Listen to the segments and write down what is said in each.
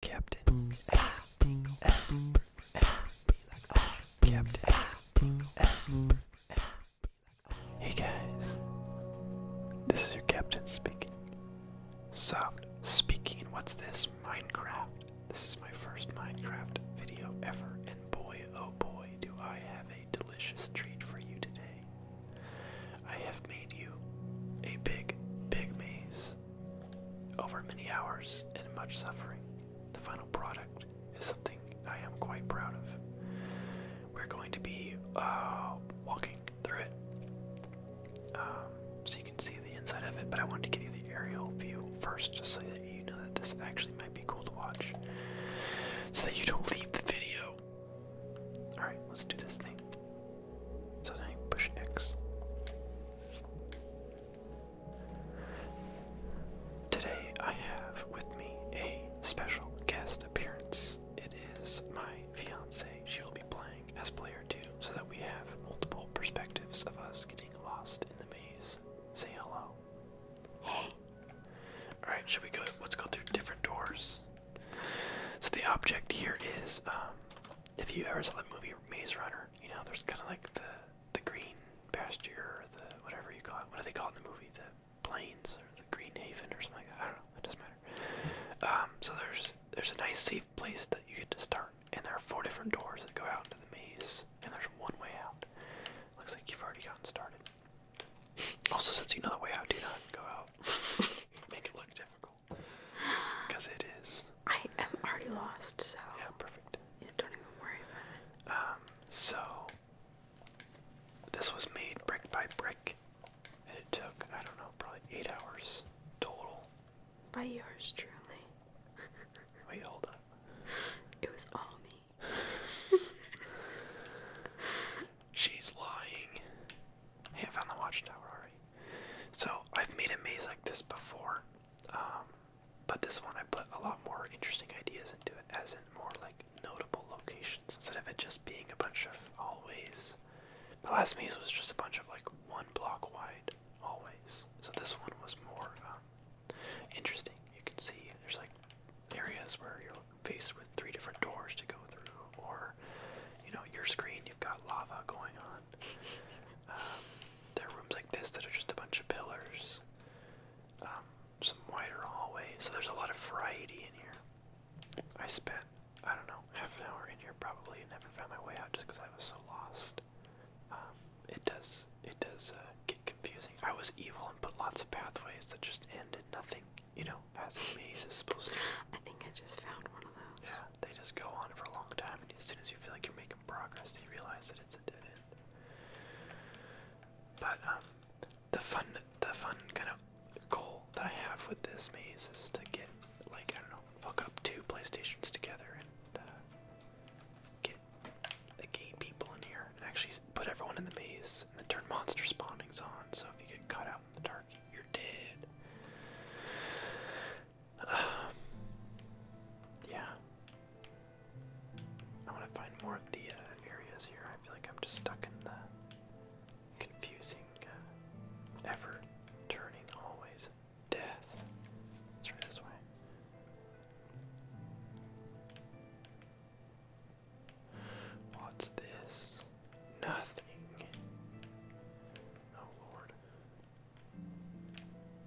Captain Captain Hey guys, this is your captain speaking. So, speaking, what's this? Minecraft. This is my first Minecraft video ever, and boy oh boy do I have a delicious treat for you today. I have made you a big, big maze over many hours and much suffering, the final product is something I am quite proud of. We're going to be uh, walking through it um, so you can see the inside of it, but I wanted to give you the aerial view first so that you know that this actually might be cool to watch so that you don't leave the video. Alright, let's do this thing. So now push X. Today I have with me a special guest appearance. It is my fiance. She will be playing as player two so that we have multiple perspectives of us getting lost in the maze. Say hello. Hey. Alright, should we go let's go through different doors? So the object here is um, if you ever saw the movie Maze Runner, you know there's kind of like the the green pasture or the whatever you call it. What do they call it in the movie? The plains or the Green Haven or something I don't know. It doesn't matter. Um, so there's there's a nice safe place that you get to start, and there are four different doors that go out into the maze, and there's one way out. Looks like you've already gotten started. Also, since you know the way out, do not go out. Make it look difficult. Because it is. I am already lost, so. Yeah, perfect. Yeah, don't even worry about it. Um, so. This was made brick by brick, and it took, I don't know, probably eight hours total. By yours truly. Wait, hold up. It was all me. She's lying. Hey, I found the watchtower already. So I've made a maze like this before, um, but this one I put a lot more interesting ideas into it, as in more like notable locations instead of it just being a bunch of hallways. The last maze was just a bunch of like one block wide hallways, so this one was more um, interesting. You can see there's like areas where you're faced with three different doors to go through, or you know, your screen. You've got lava going on. Um, there are rooms like this that are just a bunch of pillars. Um, some wider hallways. So there's a lot of variety in here. I spent, I don't know, half an hour in here probably and never found my way out just because I was so lost. Um, it does, it does uh, get confusing. I was evil and put lots of pathways that just ended nothing you know, as a maze is supposed to. I think I just found one of those. Yeah, they just go on for a long time, and as soon as you feel like you're making progress, you realize that it's a dead end. But um, the fun, the fun kind of goal that I have with this maze is to get, like, I don't know, hook up two PlayStations together and uh, get the gay people in here and actually put everyone in the maze and then turn monster spawnings on. So if you get cut out in the dark you're dead. yeah. I want to find more of the uh, areas here. I feel like I'm just stuck in the confusing, uh, ever turning, always death. Let's try this way. What's this? nothing. Oh lord.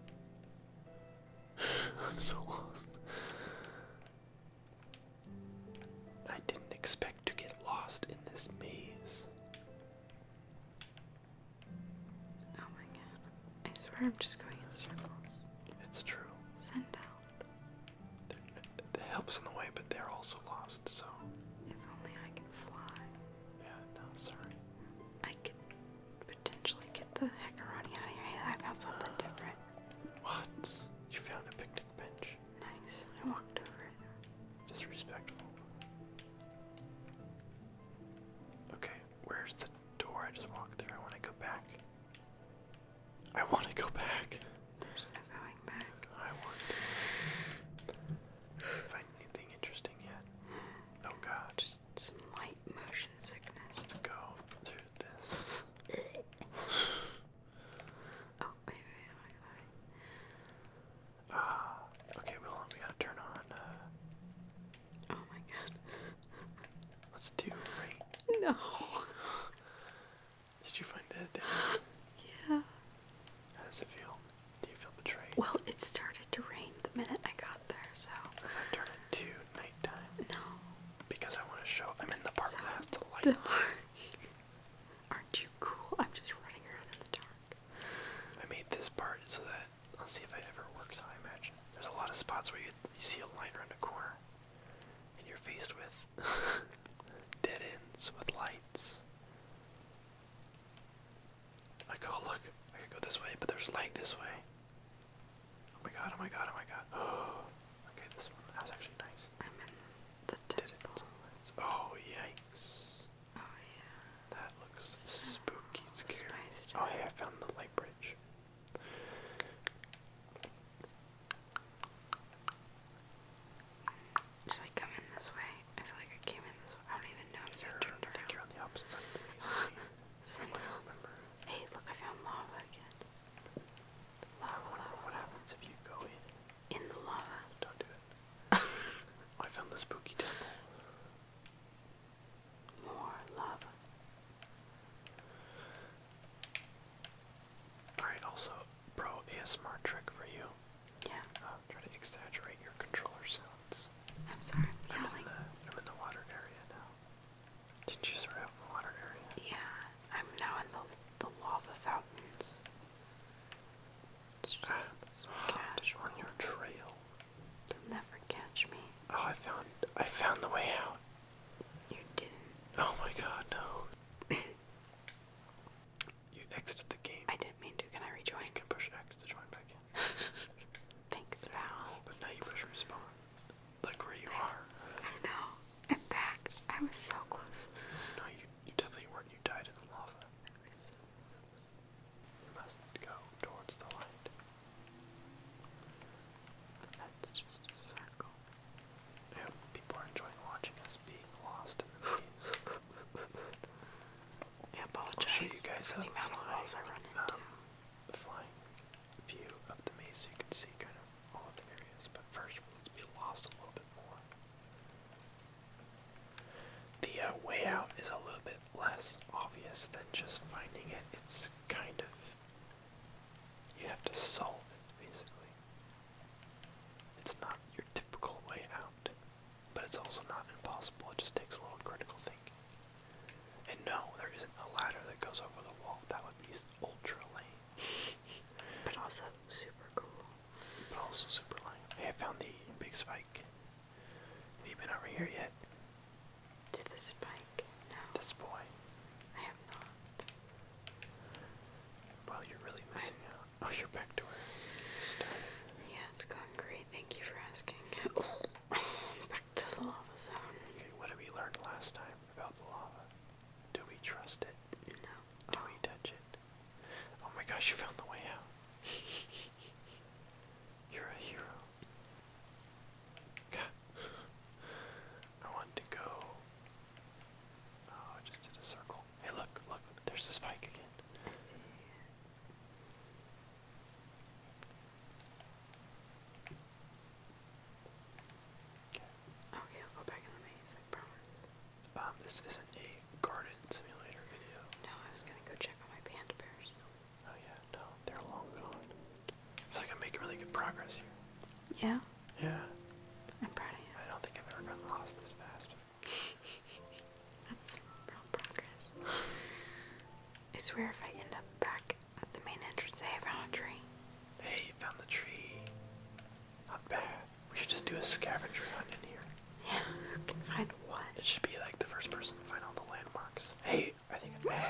I'm so lost. I didn't expect to get lost in this maze. Oh my god. I swear I'm just going in circles. It's true. Send out the help's in the way, but they're also lost, so. If only I can fly. Yeah, no, sorry. I could potentially get the Hecarani out of here. I found something different. What? You found a picnic bench. Nice. I walked over it. Disrespectful. Okay, where's the door I just walked through? I want to go back. I want to go back. There's no going back. I wonder. Find anything interesting yet? Hmm. Oh god. Just some light motion sickness. Let's go through this. oh, wait, wait, wait, Ah, okay, well, we gotta turn on, uh, Oh my god. Let's do rain. No. Did you find it? yeah. How does it feel? Do you feel betrayed? Well, it started to rain the minute I got there, so. I'm gonna turn it to nighttime. No. Because I want to show I'm in the part so the lights. Aren't you cool? I'm just running around in the dark. I made this part so that I'll see if it ever works. I imagine there's a lot of spots where you you see a line around a corner, and you're faced with Dead ends with lights. Like, oh look, I could go this way, but there's light this way. Oh my god, oh my god, oh my god. Oh, okay, this one, that was actually nice. I'm in the Dead ends with lights. Oh, yikes. Oh, yeah. That looks so spooky, scary. Oh, hey, I found the light bridge. Should I come in this way? I feel like I came in this way. I don't even know. i turned around. Hey, look, I found lava again. Lava, What happens if you go in? In the lava. Don't do it. Oh, I found the spooky temple. More lava. Alright, also, pro ASMR trick for you. Yeah. Uh, try to exaggerate your controller sounds. I'm sorry, I'm, in the, I'm in the water area now. Did you start out the water area? Yeah, I'm now in the, the lava fountains. It's just uh, so on your trail. You'll never catch me. Oh, I found I found the way out. You didn't. Oh my god, no. You exited the game. I didn't mean to. Can I rejoin? You can push X to join back in. Thanks, Val. But now you push respawn. Like where you are. I know. I'm back. I was so close. No, you, definitely weren't. You died in the lava. You must go towards the light. That's just a circle. I people are enjoying watching us being lost in the I will show you guys for um, flying view of the maze, so you can see kind of all of the areas. But first, let's be lost a little bit more. The uh, way out is a little bit less obvious than just finding it. It's kind of you have to solve it, basically. It's not your typical way out, but it's also not impossible. It just takes a little critical thinking. And no, there isn't a ladder that goes over the wall. That would be ultra lame. but also super cool. But also super lame. Hey, I found the big spike. Have you been over here yet? To the spike? No. This boy. I have not. Well, you're really missing out. Oh, you're back to where you started. Yeah, it's going great. Thank you for asking. back to the lava zone. Okay, what did we learn last time about the lava? Do we trust it? No. Do we touch it? Oh my gosh, you found the way out. You're a hero. God. I want to go Oh, I just did a circle. Hey, look, look, there's the spike again. Okay. I'll go back in the maze, promise. Um, this isn't a garden simulator video. No, I was gonna go check on my panda bears. Oh yeah, no, they're long gone. I feel like I'm making really good progress here. Yeah? Yeah. I'm proud of you. I don't think I've ever gotten lost this fast. That's real progress. I swear if I end up back at the main entrance, I found a tree. Hey, you found the tree. Not bad. We should just do a scavenger hunt in here. Yeah, who can find what? It should be like the first person to find all the landmarks. Hey, I think I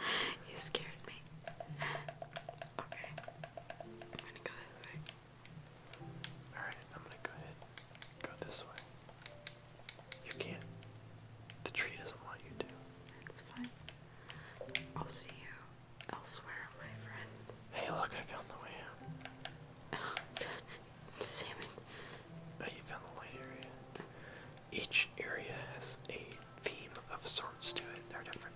you scared me. Okay. I'm gonna go this way. Alright, I'm gonna go ahead. Go this way. You can't. The tree doesn't want you to. That's fine. I'll see you elsewhere, my friend. Hey, look, I found the way out. Salmon. Oh, you found the light area. Each area has a theme of sorts to it. They're different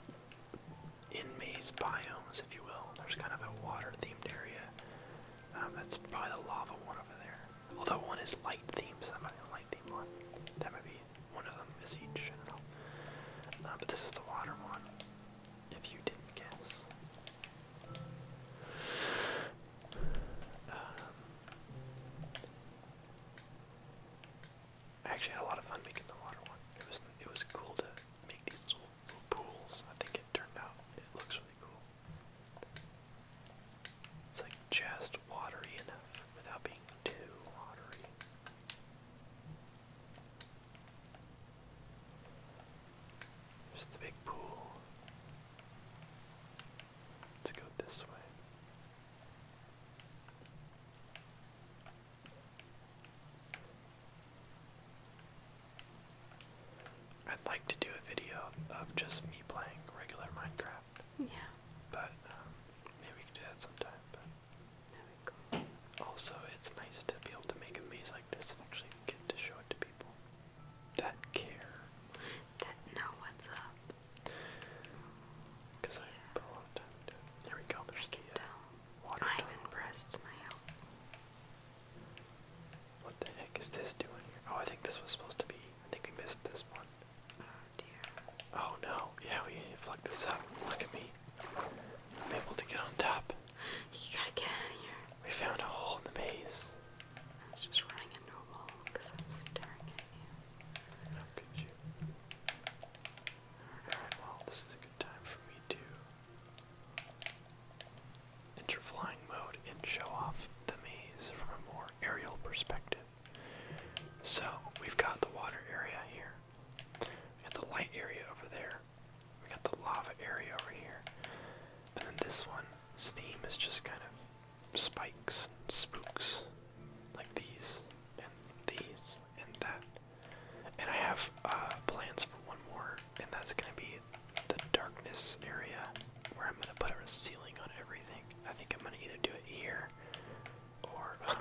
in maze biomes, if you will. There's kind of a water themed area. Um, that's probably the lava one over there. Although one is light themed, so that might be a light themed one. That might be one of them is each. I uh, but this is the water one, if you didn't guess. Um, I actually had a lot of fun making the water one. It was it was cool to make these little, pools. I think it turned out it looks really cool. It's like just watery enough without being too watery. There's the big pool. Let's go this way. I'd like to do a video of just me playing regular Minecraft. Yeah. But um, maybe we can do that sometime. But Also, it's nice to be able to make a maze like this and actually get to show it to people that care. That know what's up. Because I put a lot of time There we go, there's the uh, water I'm impressed now. What the heck is this doing here? Oh, I think this was supposed to be. I think we missed this one. Oh dear. Oh no, yeah, we need to plug this up. Look at me. I'm able to get on top. You gotta get out of here. We found a hole in the maze. just running than normal because I'm staring at you. How could you? Alright, well, this is a good time for me to enter flying mode and show off the maze from a more aerial perspective. So, we've got the water area here, we got the light area over there, we got the lava area over here, and then this one, steam is just kind of spikes and spooks like these and these and that. And I have uh, plans for one more, and that's gonna be the darkness area where I'm gonna put a ceiling on everything. I think I'm gonna either do it here or um,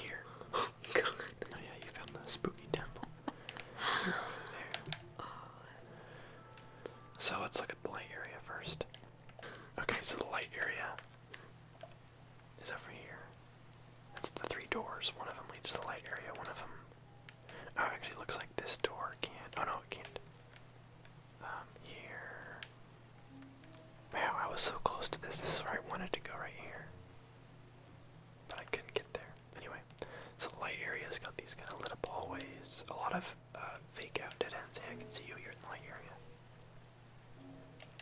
here. Oh, God. oh yeah, you found the spooky temple. Oh, so let's look at the light area first. Okay, so the light area is over here. That's the three doors. One of them leads to the light area, one of them. Oh, actually, looks like this door can't. Oh no, it can't. Um, here. Wow, I was so close to this. This is where I wanted to go right here. But I couldn't get there. Anyway, so the light area's got these kind of lit up hallways. A lot of uh, fake out dead end. Hey, I can see you. You're in my area.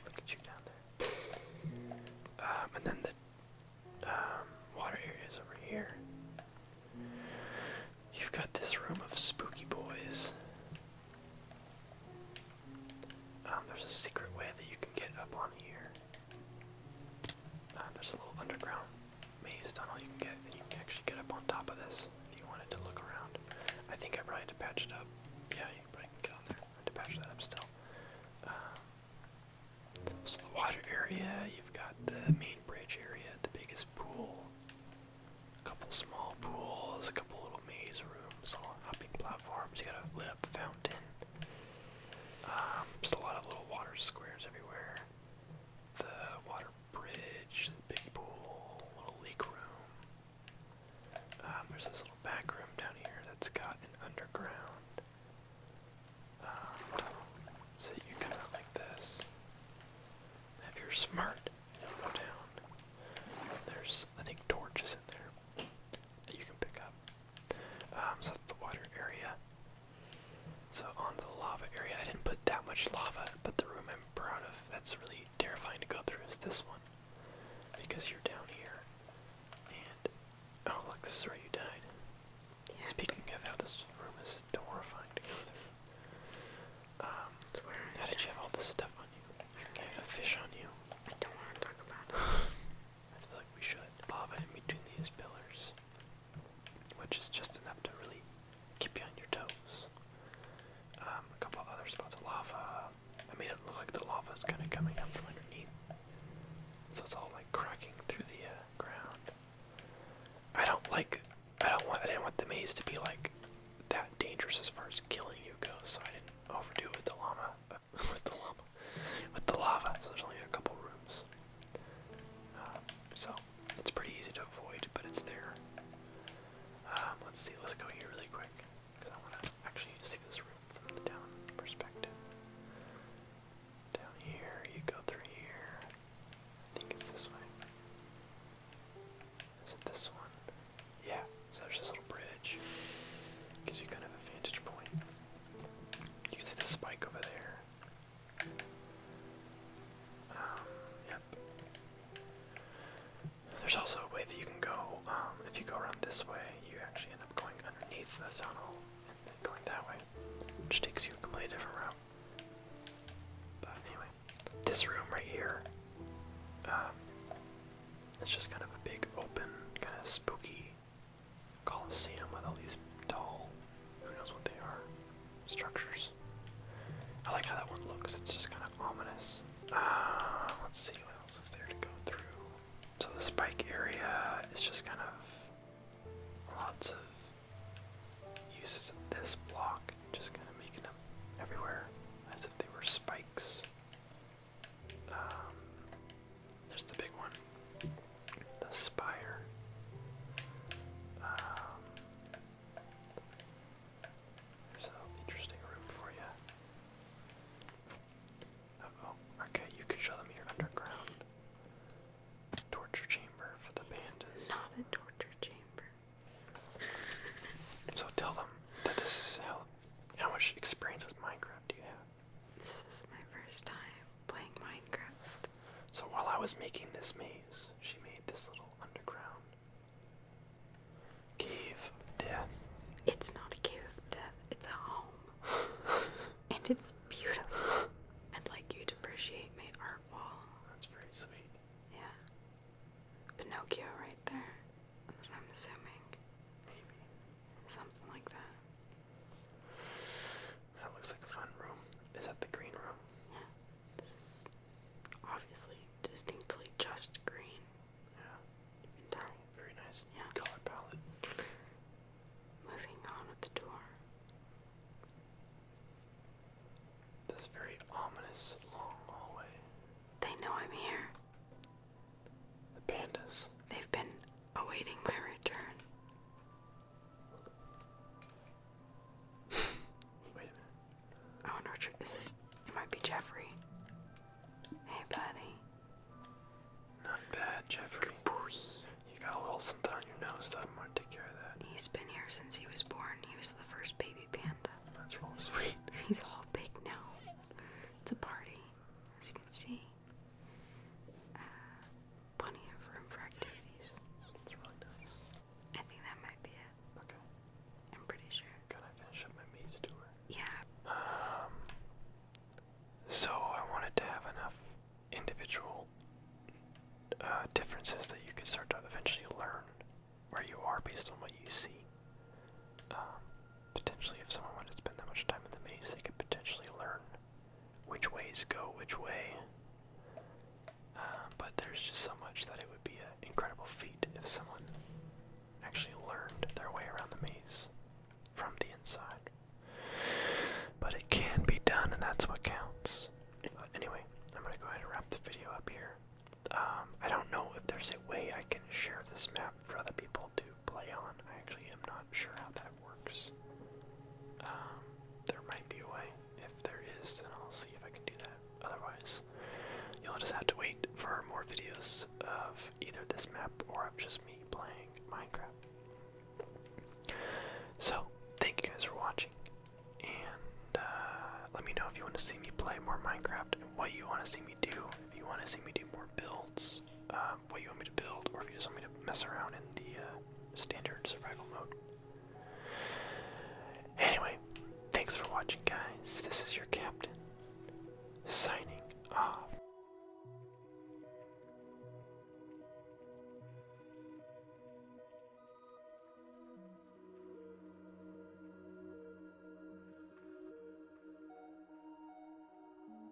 Look at you down there. Um, and then the um, water area over here. You've got this room of spooky boys. Um, there's a secret way that you can get up on here. there's a little underground maze tunnel you can get, and you can actually get up on top of this if you wanted to look around. I think I probably had to patch it up. Yeah, you probably can get on there. I had to patch that up still. Um, so the water area, you've got the main bridge area, the biggest pool, a couple small pools, a couple little maze rooms, a hopping platforms. You got a lit up fountain. Um, just a lot of little water squares everywhere. The water bridge, big pool, little leak room. Um, there's this little back room down here that's got an underground. Um, so you come out like this. Have your smart go down. There's, I think, torches in there that you can pick up. Um, so that's the water area. So on the lava area, I didn't put that much lava, but the room I proud of. That's really terrifying to go through is this one. Because you're down here. And oh look, this is where you died. Yeah. Speaking of how this room is horrifying to go through. Um how did you have all this stuff on you? You can a fish on you. I don't want to talk about it. I feel like we should. Lava in between these pillars which is just enough to really keep you on your toes. Um, a couple of other spots lava. I made it look like the lava is kind of coming up from underneath, so it's all like cracking through the uh, ground. I don't like. I don't want. I didn't want the maze to be like that dangerous as far as killing you goes, so I didn't overdo with the llama. with the llama. With the lava. there's only a couple rooms. Uh, so it's pretty easy to avoid, but it's there. Um, let's see, let's go here really quick, because I want to actually see this room from the down perspective. Down here, you go through here. I think it's this way. Is it this one? Yeah, so there's this little bridge. Gives you kind of a vantage point. You can see the spike over there. There's also a way that you can go, um, if you go around this way, you actually end up going underneath the tunnel and then going that way, which takes you a completely different route. But anyway, this room right here, um, it's just kind of a big open, kind of spooky coliseum with all these tall who knows what they are? Structures. I like how that one looks. It's just kind of ominous. Uh, let's see what else is there to go through. So the spike area is just kind of lots of uses of this block, just kind of making them everywhere as if they were spikes. Um, there's the big one, the spire. Um, there's an interesting room for you. oh. Okay, you can show them your underground torture chamber for the pandas. not a torture chamber. so tell them that this is How much experience with Minecraft do you have? This is my first time playing Minecraft. So while I was making this maze, she made this little underground cave death. It's not a cave death, it's a home. and it's beautiful. I'd like you to appreciate my art wall. That's pretty sweet. Yeah. Pinocchio right there. That's what I'm assuming. Maybe. Something like that. That looks like a fun room. Is that the green room? Yeah. This is obviously distinctly just green. Yeah. Very nice yeah. color palette. Moving on with the door. This very ominous long hallway. They know I'm here. The pandas. They've been awaiting my return. Wait a minute. I wonder which is it. might be Jeffrey. Hey, buddy. Not bad, Jeffrey. You got a little something on your nose, I'm gonna take care of that. He's been here since he was born. He was the first baby panda. That's real sweet. He's all big now. It's a party, as you can see. Uh, plenty of room for activities. It's really nice. I think that might be it. Okay. I'm pretty sure. Can I finish up my maze tour? Yeah. Um. So I wanted to have enough individual uh, differences that you could start to eventually learn where you are based on what you see. Um, potentially, if someone wanted to spend that much time in the maze, they could potentially learn which ways go which way. Uh, but there's just so much that it would be an incredible feat if someone actually learned their way around the maze from the inside. But it can be done, and that's what counts. anyway, I'm gonna go ahead and wrap the video up here. Um, I don't know if there's a way I can share this map for other people to play on. I actually am not sure how that works. Um, there might be a way. If there is, then I'll see if I can do that. Otherwise, you'll just have to wait for more videos of either this map or of just me playing Minecraft. So, thank you guys for watching. And uh, let me know if you want to see me play more Minecraft what you want to see me do. If you want to see me do more builds, uh, what you want me to build, or if you just want me to mess around in the uh, standard survival mode. Anyway, thanks for watching, guys. This is your captain, signing off.